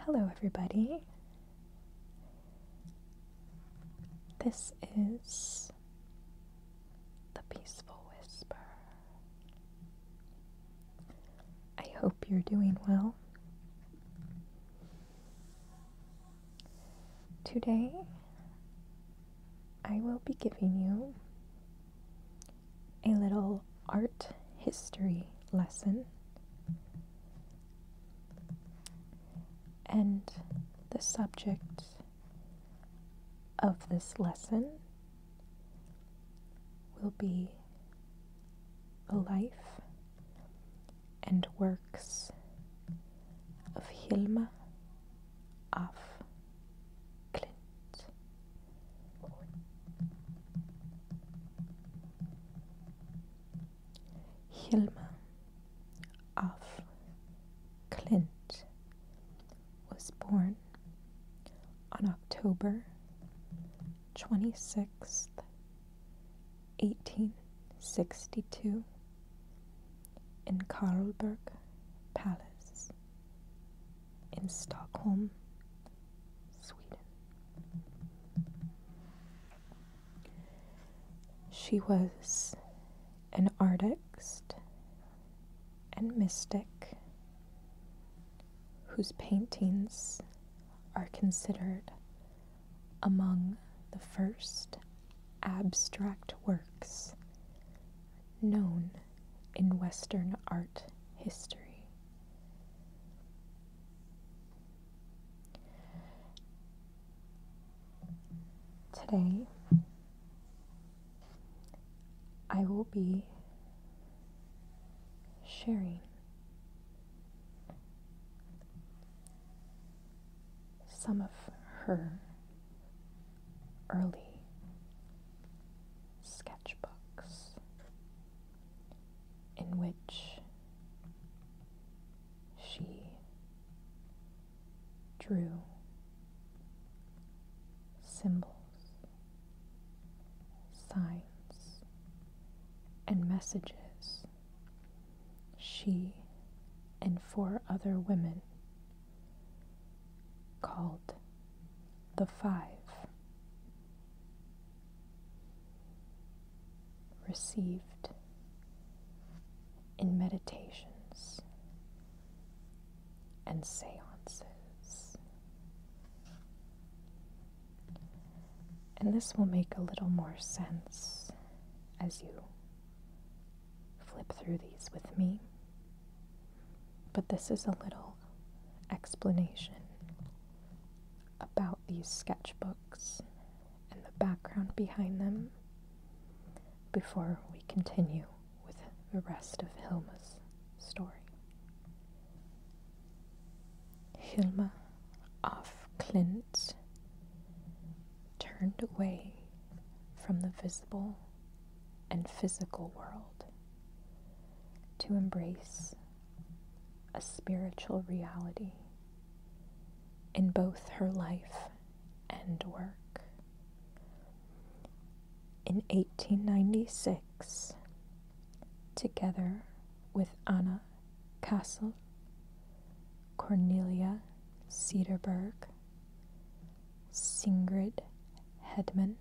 Hello, everybody. This is the Peaceful Whisper. I hope you're doing well. Today, I will be giving you a little art history lesson. And the subject of this lesson will be the life and works of Hilma af Clint. Hilma of Clint was born on October 26th, 1862 in Karlberg Palace in Stockholm, Sweden. She was an artist and mystic whose paintings are considered among the first abstract works known in Western art history. Today, I will be sharing some of her early sketchbooks in which she drew symbols, signs, and messages she and four other women called the Five. Received in meditations and seances. And this will make a little more sense as you flip through these with me. But this is a little explanation about these sketchbooks and the background behind them before we continue with the rest of Hilma's story. Hilma of Clint turned away from the visible and physical world to embrace a spiritual reality in both her life and work. In 1896, together with Anna Castle, Cornelia Cederberg, Singrid Hedman,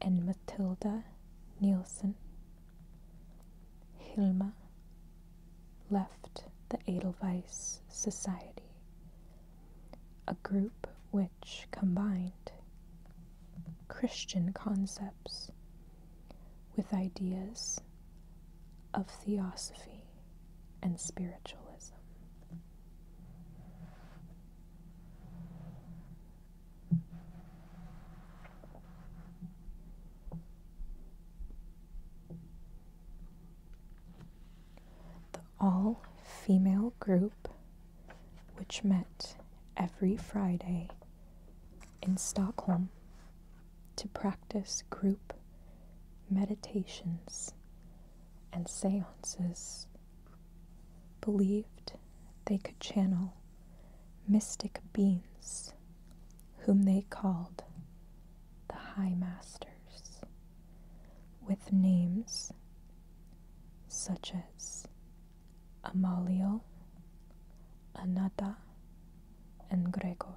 and Matilda Nielsen. Hilma left the Edelweiss Society, a group which combined Christian concepts with ideas of theosophy and spiritualism. The all female group, which met every Friday in Stockholm to practice group meditations and seances believed they could channel mystic beings whom they called the High Masters with names such as Amalio, Anata, and Gregor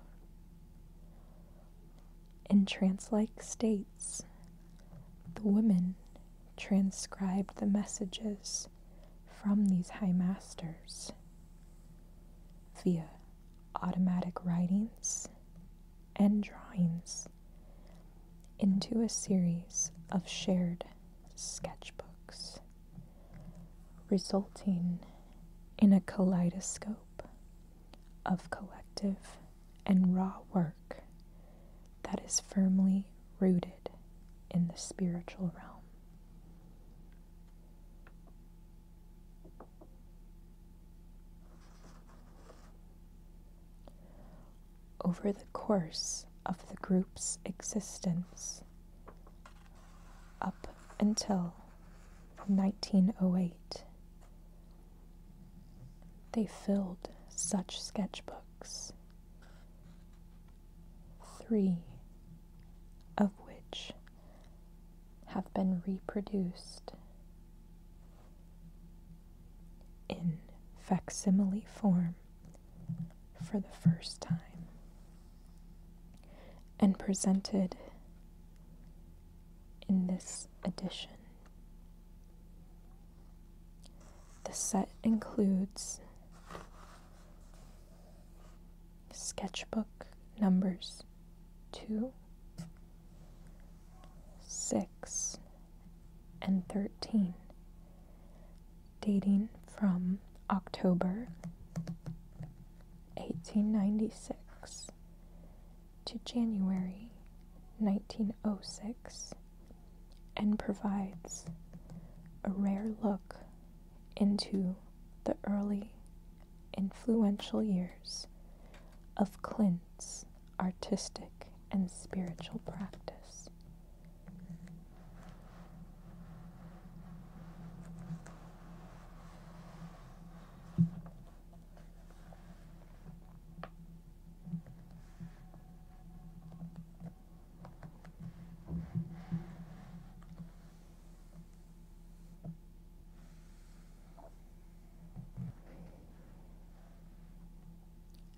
in trance like states. The women transcribed the messages from these high masters via automatic writings and drawings into a series of shared sketchbooks, resulting in a kaleidoscope of collective and raw work that is firmly rooted in the spiritual realm. Over the course of the group's existence, up until 1908, they filled such sketchbooks, three of which have been reproduced in facsimile form for the first time and presented in this edition. The set includes sketchbook numbers 2, 6, and 13, dating from October 1896 to January 1906 and provides a rare look into the early influential years of Clint's artistic and spiritual practice.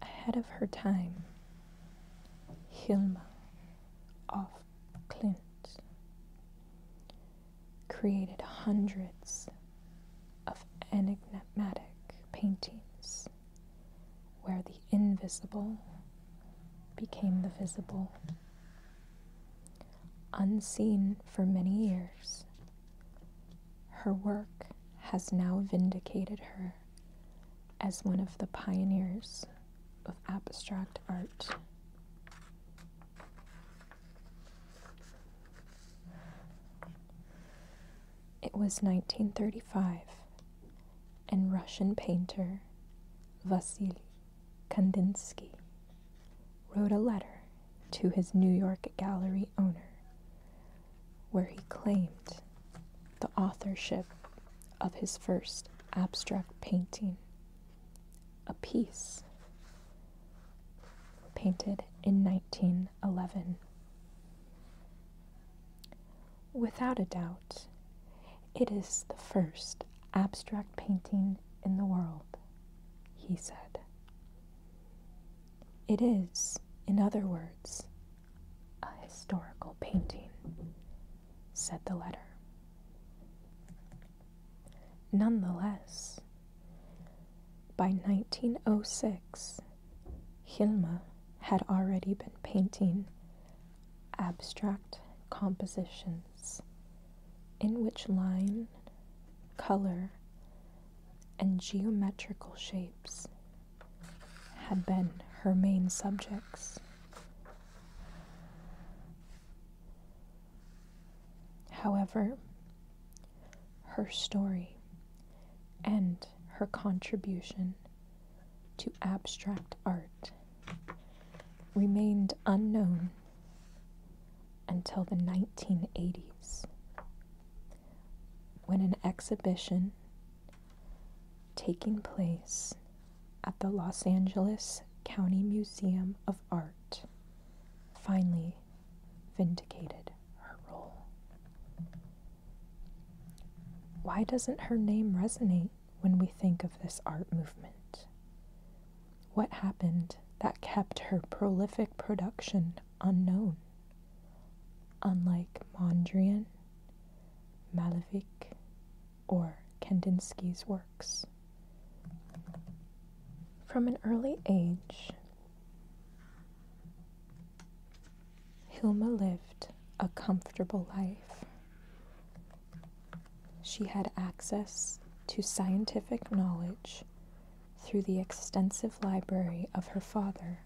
Ahead of her time, Hilma of Clint created hundreds of enigmatic paintings where the invisible became the visible. Unseen for many years, her work has now vindicated her as one of the pioneers of abstract art. It was 1935, and Russian painter Vasily Kandinsky wrote a letter to his New York gallery owner where he claimed the authorship of his first abstract painting, a piece painted in 19 11:11. Without a doubt, it is the first abstract painting in the world, he said. It is, in other words, a historical painting, said the letter. Nonetheless, by 1906, Hilma had already been painting abstract compositions in which line, color, and geometrical shapes had been her main subjects. However, her story, and her contribution to abstract art remained unknown until the 1980s when an exhibition taking place at the Los Angeles County Museum of Art finally vindicated her role. Why doesn't her name resonate when we think of this art movement? What happened that kept her prolific production unknown? Unlike Mondrian, Malevich, or Kandinsky's works. From an early age, Hilma lived a comfortable life. She had access to scientific knowledge through the extensive library of her father,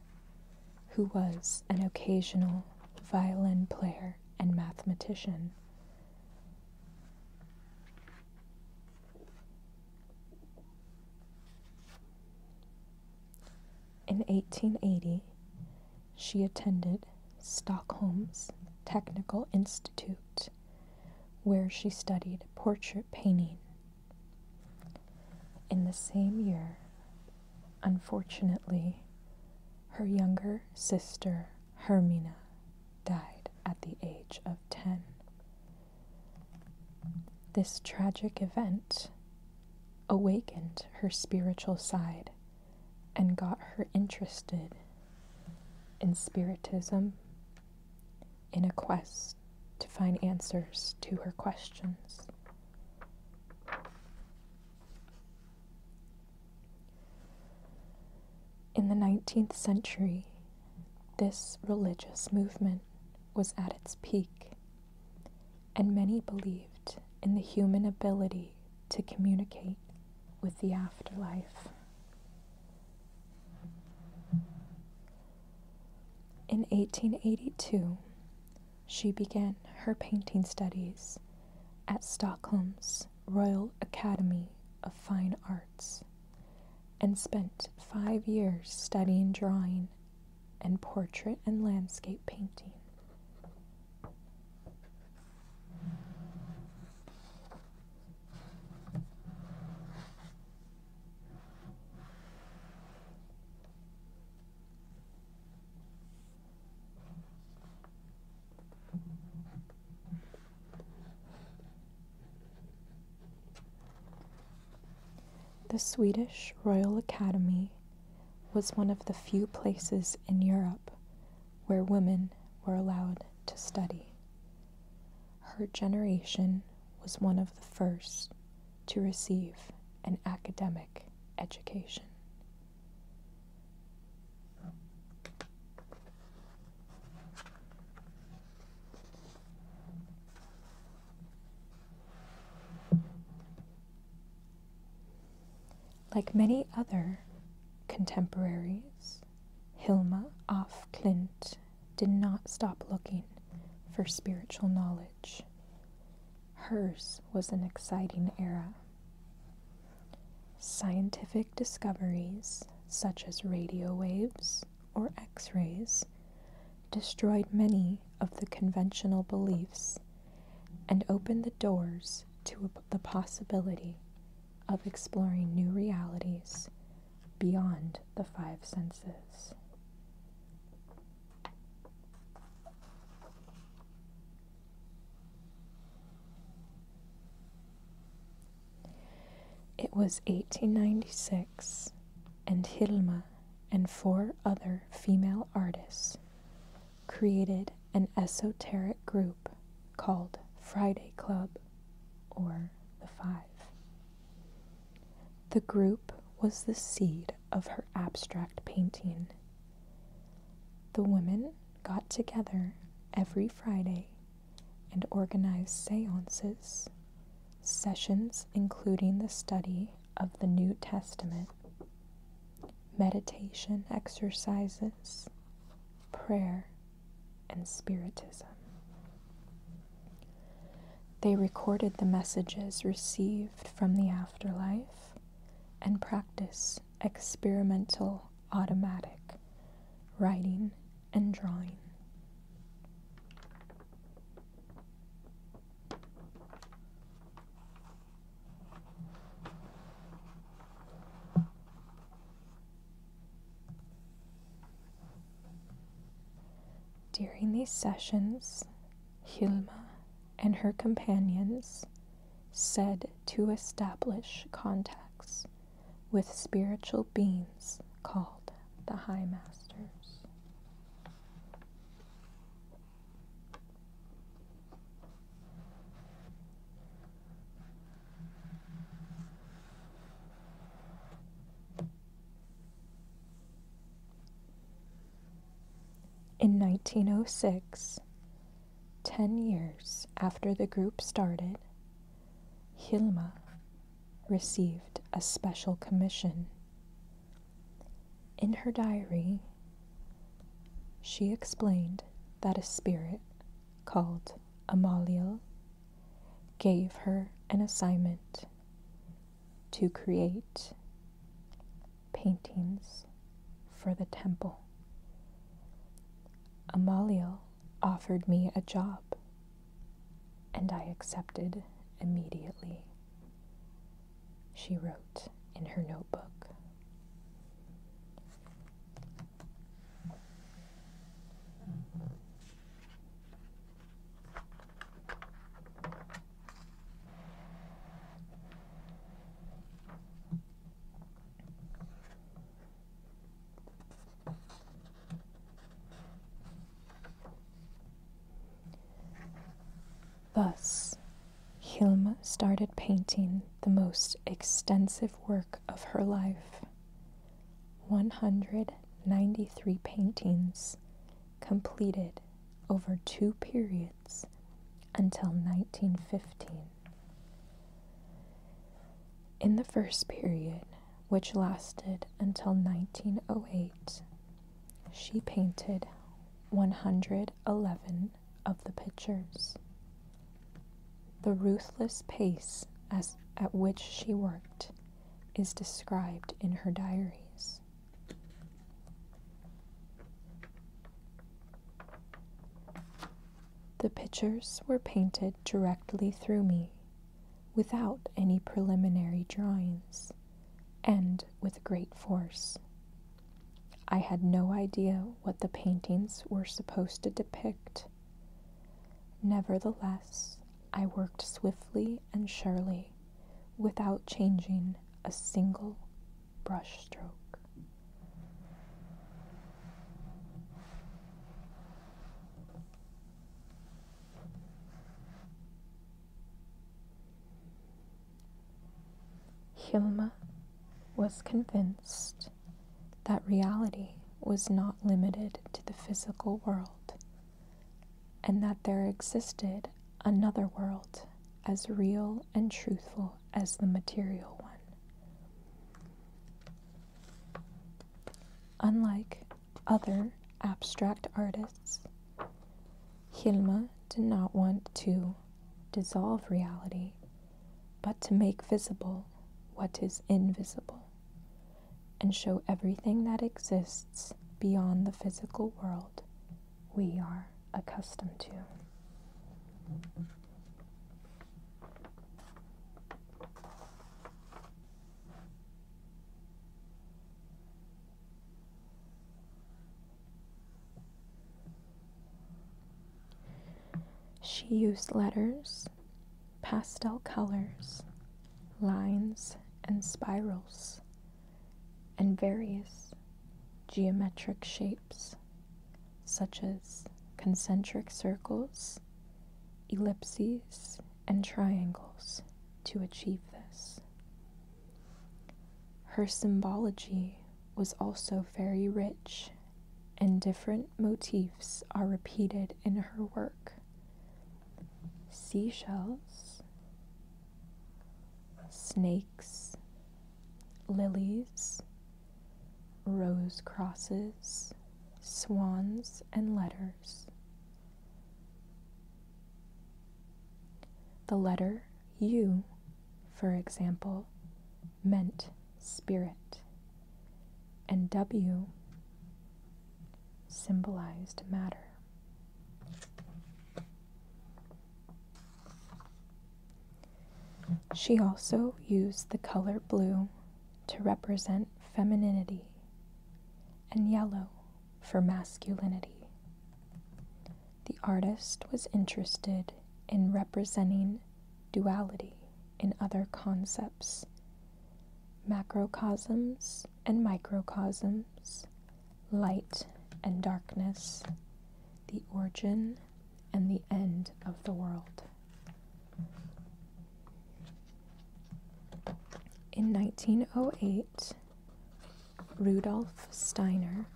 who was an occasional violin player and mathematician. In 1880, she attended Stockholm's Technical Institute, where she studied portrait painting. In the same year, unfortunately, her younger sister, Hermina, died at the age of 10. This tragic event awakened her spiritual side and got her interested in spiritism in a quest to find answers to her questions. In the 19th century, this religious movement was at its peak, and many believed in the human ability to communicate with the afterlife. In 1882, she began her painting studies at Stockholm's Royal Academy of Fine Arts and spent five years studying drawing and portrait and landscape painting. The Swedish Royal Academy was one of the few places in Europe where women were allowed to study. Her generation was one of the first to receive an academic education. Like many other contemporaries, Hilma af Klint did not stop looking for spiritual knowledge. Hers was an exciting era. Scientific discoveries such as radio waves or X rays destroyed many of the conventional beliefs and opened the doors to the possibility of exploring new realities beyond the five senses. It was 1896, and Hilma and four other female artists created an esoteric group called Friday Club or the Five. The group was the seed of her abstract painting. The women got together every Friday and organized seances, sessions including the study of the New Testament, meditation exercises, prayer, and spiritism. They recorded the messages received from the afterlife and practice experimental automatic writing and drawing. During these sessions, Hilma and her companions said to establish contacts with spiritual beings called the High Masters. In 1906, 10 years after the group started, Hilma received a special commission. In her diary, she explained that a spirit called Amaliel gave her an assignment to create paintings for the temple. Amaliel offered me a job and I accepted immediately, she wrote in her notebook. Thus, Hilma started painting the most extensive work of her life 193 paintings completed over two periods until 1915. In the first period, which lasted until 1908. She painted 111 of the pictures. The ruthless pace at which she worked is described in her diaries. The pictures were painted directly through me without any preliminary drawings, and with great force. I had no idea what the paintings were supposed to depict. Nevertheless, I worked swiftly and surely, without changing a single brushstroke. Hilma was convinced that reality was not limited to the physical world and that there existed another world as real and truthful as the material one. Unlike other abstract artists, Hilma did not want to dissolve reality, but to make visible what is invisible and show everything that exists beyond the physical world we are accustomed to. She used letters, pastel colors, lines and spirals, and various geometric shapes, such as concentric circles ellipses, and triangles to achieve this. Her symbology was also very rich, and different motifs are repeated in her work. Seashells, snakes, lilies, rose crosses, swans, and letters. The letter U, for example, meant spirit, and W symbolized matter. She also used the color blue to represent femininity and yellow for masculinity. The artist was interested in representing duality in other concepts, macrocosms and microcosms, light and darkness, the origin and the end of the world. In 1908, Rudolf Steiner,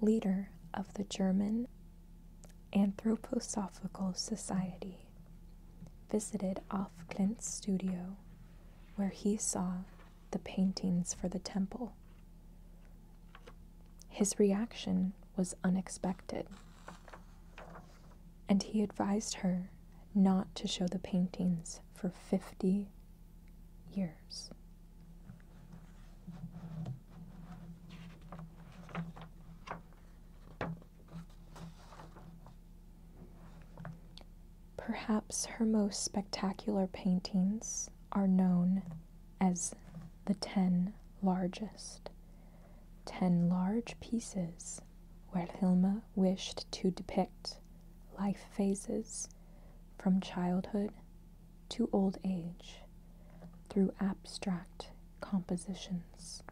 leader of the German Anthroposophical Society, visited Off Klint's studio where he saw the paintings for the temple. His reaction was unexpected and he advised her not to show the paintings for 50 years. Perhaps her most spectacular paintings are known as the 10 largest ten large pieces where Hilma wished to depict life phases from childhood to old age through abstract compositions.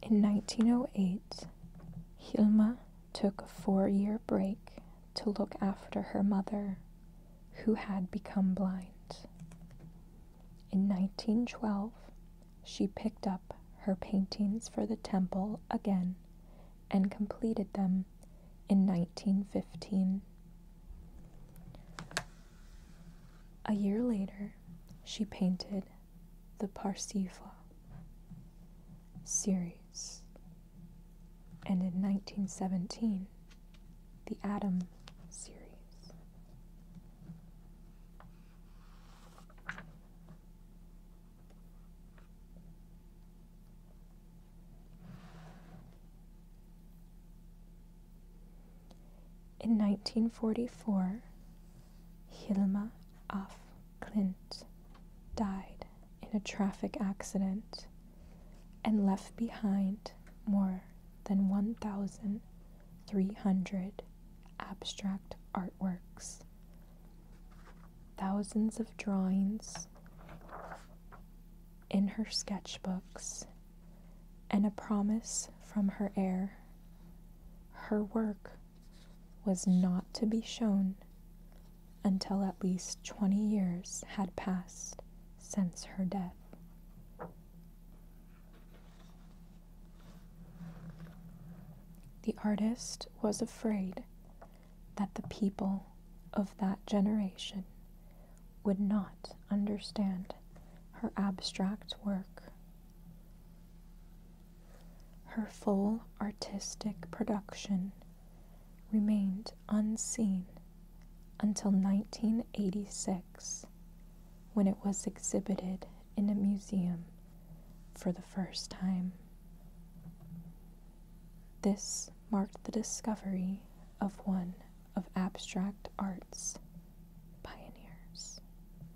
In 1908, Hilma took a four year break to look after her mother, who had become blind. In 1912, she picked up her paintings for the temple again and completed them in 1915. A year later, she painted the Parsifal series, and in 1917, the Adam series. In 1944, Hilma af Klint died in a traffic accident and left behind more than 1,300 abstract artworks, thousands of drawings in her sketchbooks, and a promise from her heir. Her work was not to be shown until at least 20 years had passed since her death. The artist was afraid that the people of that generation would not understand her abstract work. Her full artistic production remained unseen until 1986 when it was exhibited in a museum for the first time. This marked the discovery of one of abstract art's pioneers.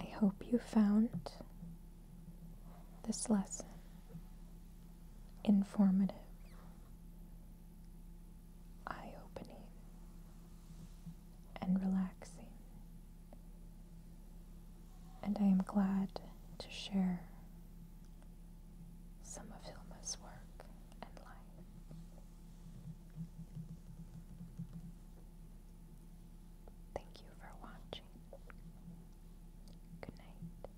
I hope you found this lesson informative eye opening and relaxing. And I am glad to share some of Hilma's work and life. Thank you for watching. Good night.